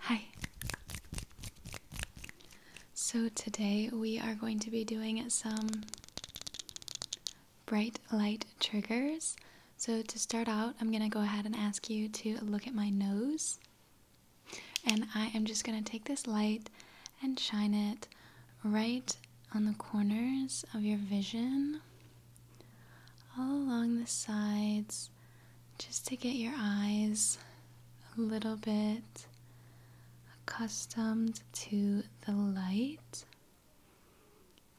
Hi. So today we are going to be doing some bright light triggers. So to start out, I'm going to go ahead and ask you to look at my nose. And I am just going to take this light and shine it right on the corners of your vision all along the sides just to get your eyes a little bit accustomed to the light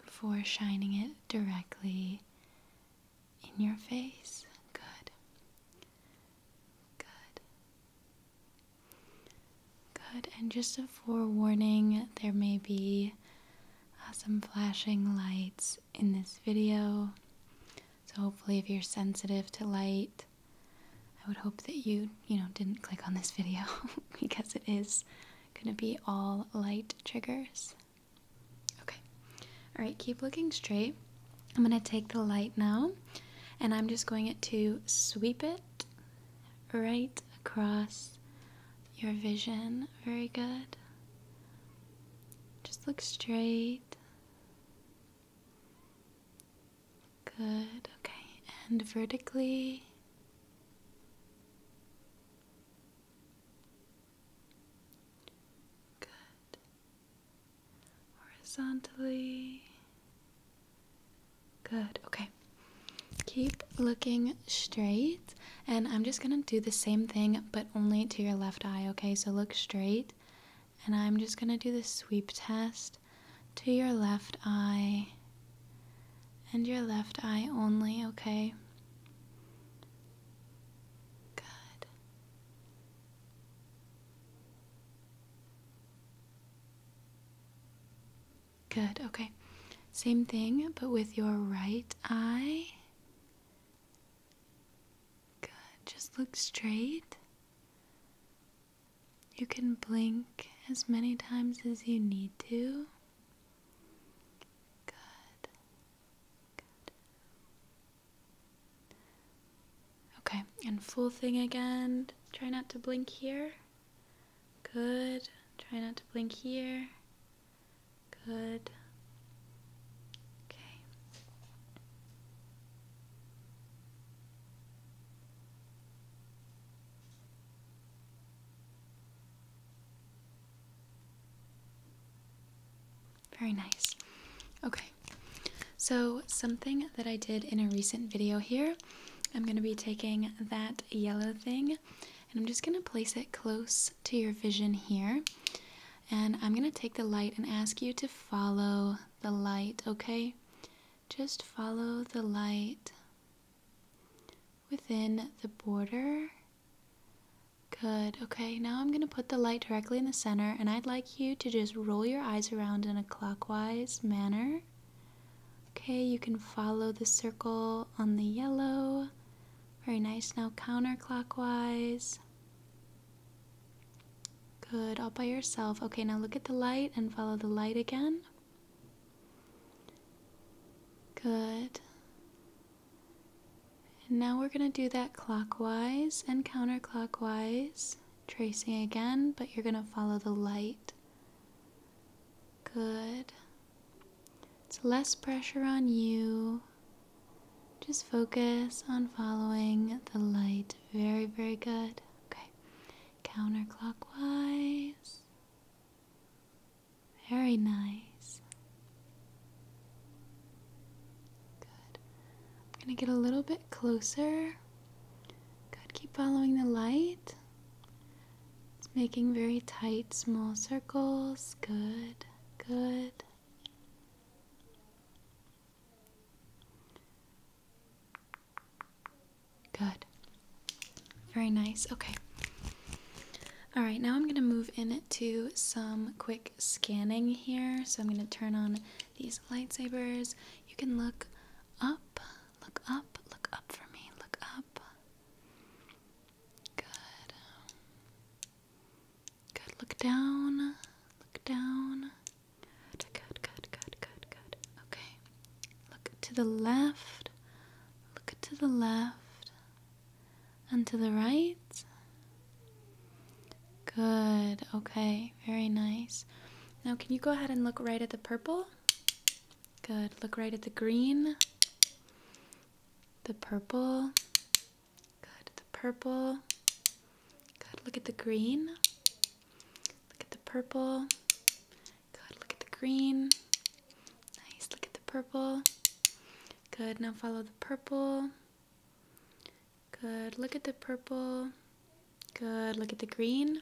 before shining it directly in your face. Good. Good. Good. And just a forewarning, there may be uh, some flashing lights in this video. So hopefully if you're sensitive to light, I would hope that you, you know, didn't click on this video because it is going to be all light triggers. Okay. All right, keep looking straight. I'm going to take the light now and I'm just going to sweep it right across your vision very good. Just look straight. Good, okay, and vertically. Good. Horizontally. Good, okay. Keep looking straight, and I'm just gonna do the same thing but only to your left eye, okay? So look straight, and I'm just gonna do the sweep test to your left eye and your left eye only, okay? Good. Good, okay. Same thing, but with your right eye. Good, just look straight. You can blink as many times as you need to. Good. Good. Okay, and full thing again. Try not to blink here. Good. Try not to blink here. Good. Okay. Very nice. Okay. So something that I did in a recent video here, I'm going to be taking that yellow thing and I'm just going to place it close to your vision here. And I'm going to take the light and ask you to follow the light, okay? Just follow the light within the border. Good. Okay, now I'm going to put the light directly in the center, and I'd like you to just roll your eyes around in a clockwise manner. Okay, you can follow the circle on the yellow. Very nice. Now counterclockwise. Good, all by yourself. Okay, now look at the light and follow the light again. Good. And now we're going to do that clockwise and counterclockwise, tracing again, but you're going to follow the light. Good. It's less pressure on you. Just focus on following the light. Very, very good. Okay. Counterclockwise. Very nice. Good. I'm going to get a little bit closer. Good. Keep following the light. It's making very tight, small circles. Good, good. Good. Very nice. Okay. All right, now I'm going to move into some quick scanning here. So I'm going to turn on these lightsabers. You can look up, look up, look up for me, look up. Good. Good. Look down. Look down. Good, good, good, good, good, Okay. Look to the left. Look to the left. And to the right. Good. Okay. Very nice. Now, can you go ahead and look right at the purple? Good. Look right at the green. The purple. Good. The purple. Good. Look at the green. Look at the purple. Good. Look at the green. Nice. Look at the purple. Good. Now follow the purple. Good. Look at the purple. Good. Look at the green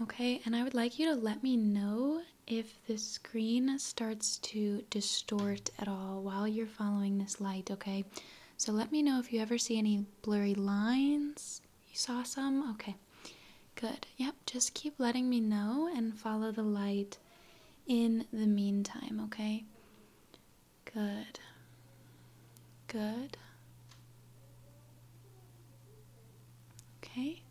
Okay, and I would like you to let me know if the screen starts to distort at all while you're following this light, okay? So let me know if you ever see any blurry lines. You saw some? Okay. Good. Yep, just keep letting me know and follow the light in the meantime, okay? Good. Good. Okay.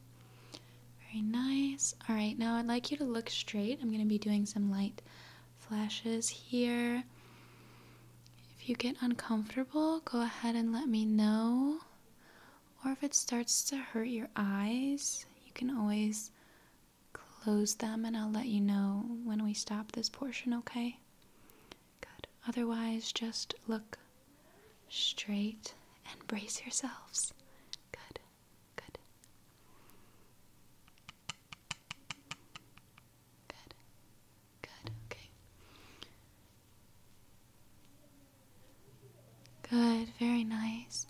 Very nice. All right, now I'd like you to look straight. I'm going to be doing some light flashes here. If you get uncomfortable, go ahead and let me know. Or if it starts to hurt your eyes, you can always close them and I'll let you know when we stop this portion, okay? Good. Otherwise, just look straight and brace yourselves. Good. Good. Good. Good. Okay. Good. Very nice.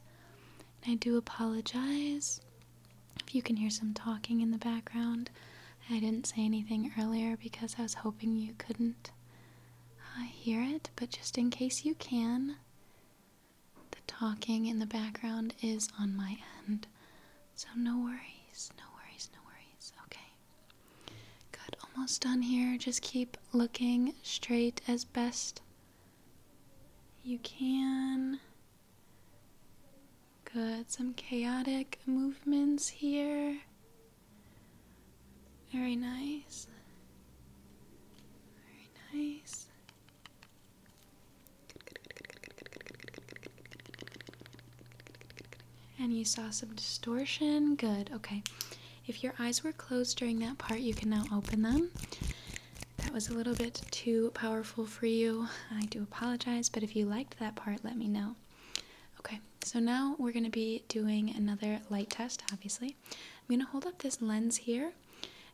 I do apologize if you can hear some talking in the background. I didn't say anything earlier because I was hoping you couldn't uh, hear it, but just in case you can, the talking in the background is on my end. So no worries, no worries, no worries. Okay. Good, almost done here. Just keep looking straight as best you can. Good, some chaotic movements here. Very nice. Very nice. And you saw some distortion. Good. Okay. If your eyes were closed during that part, you can now open them. That was a little bit too powerful for you. I do apologize, but if you liked that part, let me know. Okay. So now we're going to be doing another light test, obviously. I'm going to hold up this lens here,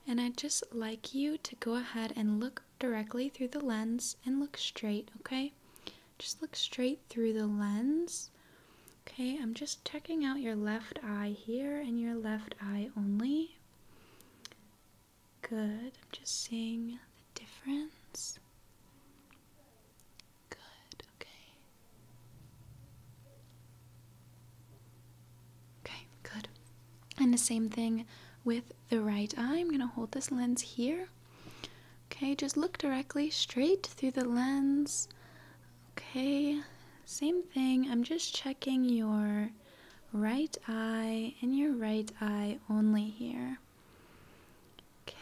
and I'd just like you to go ahead and look directly through the lens and look straight, okay? Just look straight through the lens. Okay, I'm just checking out your left eye here and your left eye only. Good, I'm just seeing the difference. Good, okay. Okay, good. And the same thing with the right eye. I'm going to hold this lens here. Okay, just look directly straight through the lens. Okay, same thing. I'm just checking your right eye and your right eye only here. Okay,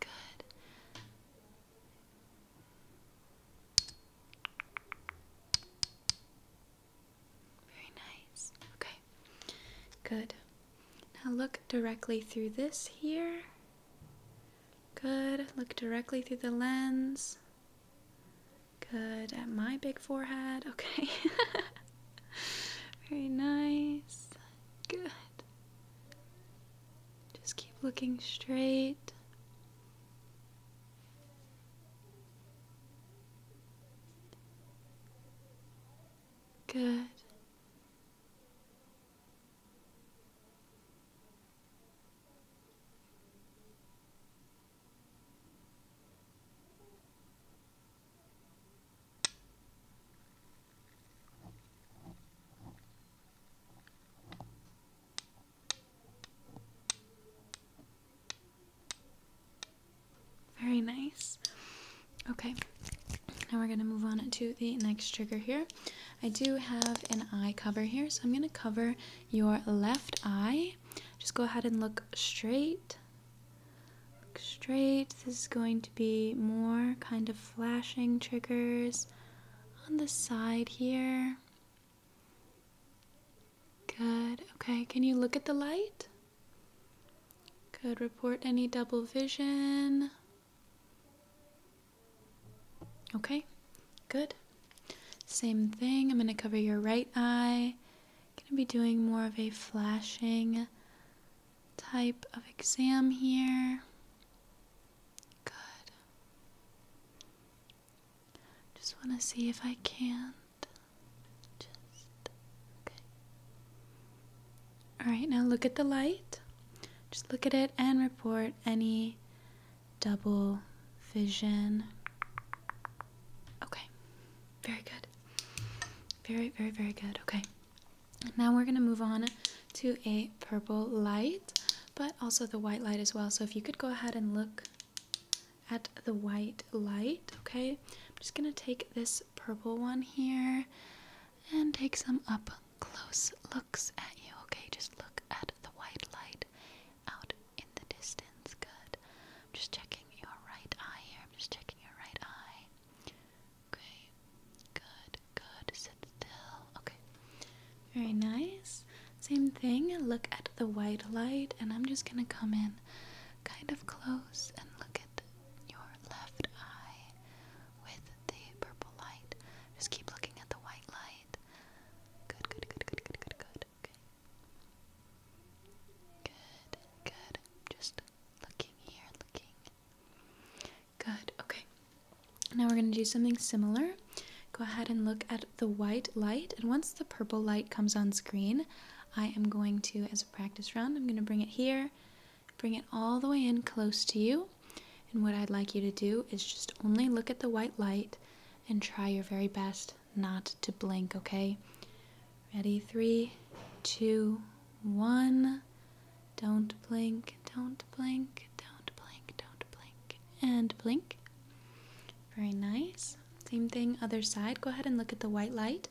good. Very nice. Okay, good. Now look directly through this here. Good. Look directly through the lens. Good. At my big forehead. Okay. Very nice. Good. Just keep looking straight. Good. Very nice. Okay, now we're going to move on to the next trigger here. I do have an eye cover here, so I'm going to cover your left eye. Just go ahead and look straight straight. This is going to be more kind of flashing triggers on the side here. Good. Okay, can you look at the light? Good. Report any double vision. Okay, good. Same thing. I'm going to cover your right eye. Going to be doing more of a flashing type of exam here. Good. Just want to see if I can't. Just. Okay. Alright, now look at the light. Just look at it and report any double vision. Okay. Very good. Very, very, very good. Okay. Now we're going to move on to a purple light, but also the white light as well. So if you could go ahead and look at the white light, okay? I'm just going to take this purple one here and take some up close looks at you, okay? Just look at the white light out in the distance. Good. I'm just checking your right eye here. I'm just checking your right eye. Okay. Good. Good. Sit still. Okay. Very nice. Same thing. Look at the white light, and I'm just gonna come in kind of close and look at your left eye with the purple light. Just keep looking at the white light. Good, good, good, good, good, good, good. Okay. Good, good. Just Looking here, looking. Good, okay. Now we're going to do something similar. Go ahead and look at the white light, and once the purple light comes on screen, I am going to, as a practice round, I'm going to bring it here, bring it all the way in close to you. And what I'd like you to do is just only look at the white light and try your very best not to blink, okay? Ready? Three, two, one. Don't blink, don't blink, don't blink, don't blink, and blink. Very nice. Same thing, other side. Go ahead and look at the white light.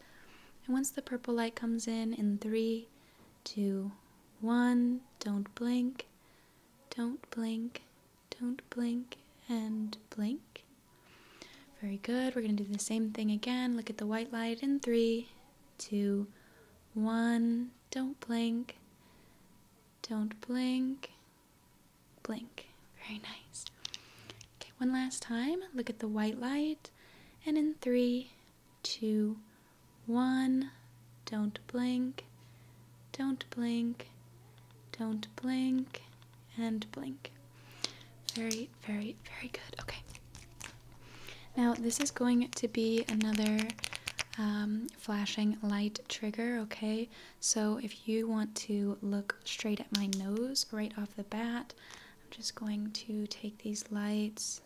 And once the purple light comes in, in three, two, one, don't blink, don't blink, don't blink, and blink. Very good. We're going to do the same thing again. Look at the white light in three, two, one. Don't blink. Don't blink. Blink. Very nice. Okay, one last time. Look at the white light. And in three, two, one. Don't blink. Don't blink. Don't blink. And blink. Very, very, very good. Okay. Now, this is going to be another um, flashing light trigger, okay? So, if you want to look straight at my nose right off the bat, I'm just going to take these lights.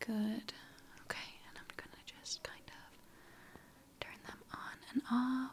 Good. Okay, and I'm going to just kind of turn them on and off.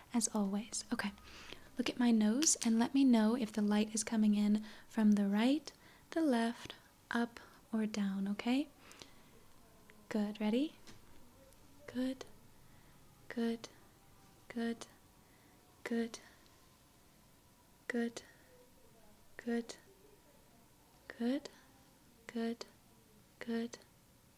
as always. Okay, look at my nose and let me know if the light is coming in from the right, the left, up, or down, okay? Good, ready? Good, good, good, good, good, good, good, good, good,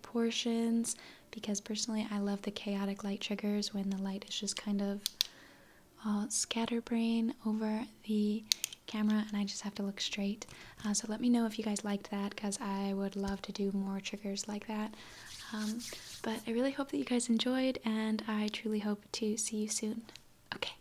Portions because personally I love the chaotic light triggers when the light is just kind of all uh, scatterbrain over the camera and I just have to look straight. Uh, so let me know if you guys liked that because I would love to do more triggers like that. Um, but I really hope that you guys enjoyed and I truly hope to see you soon. Okay.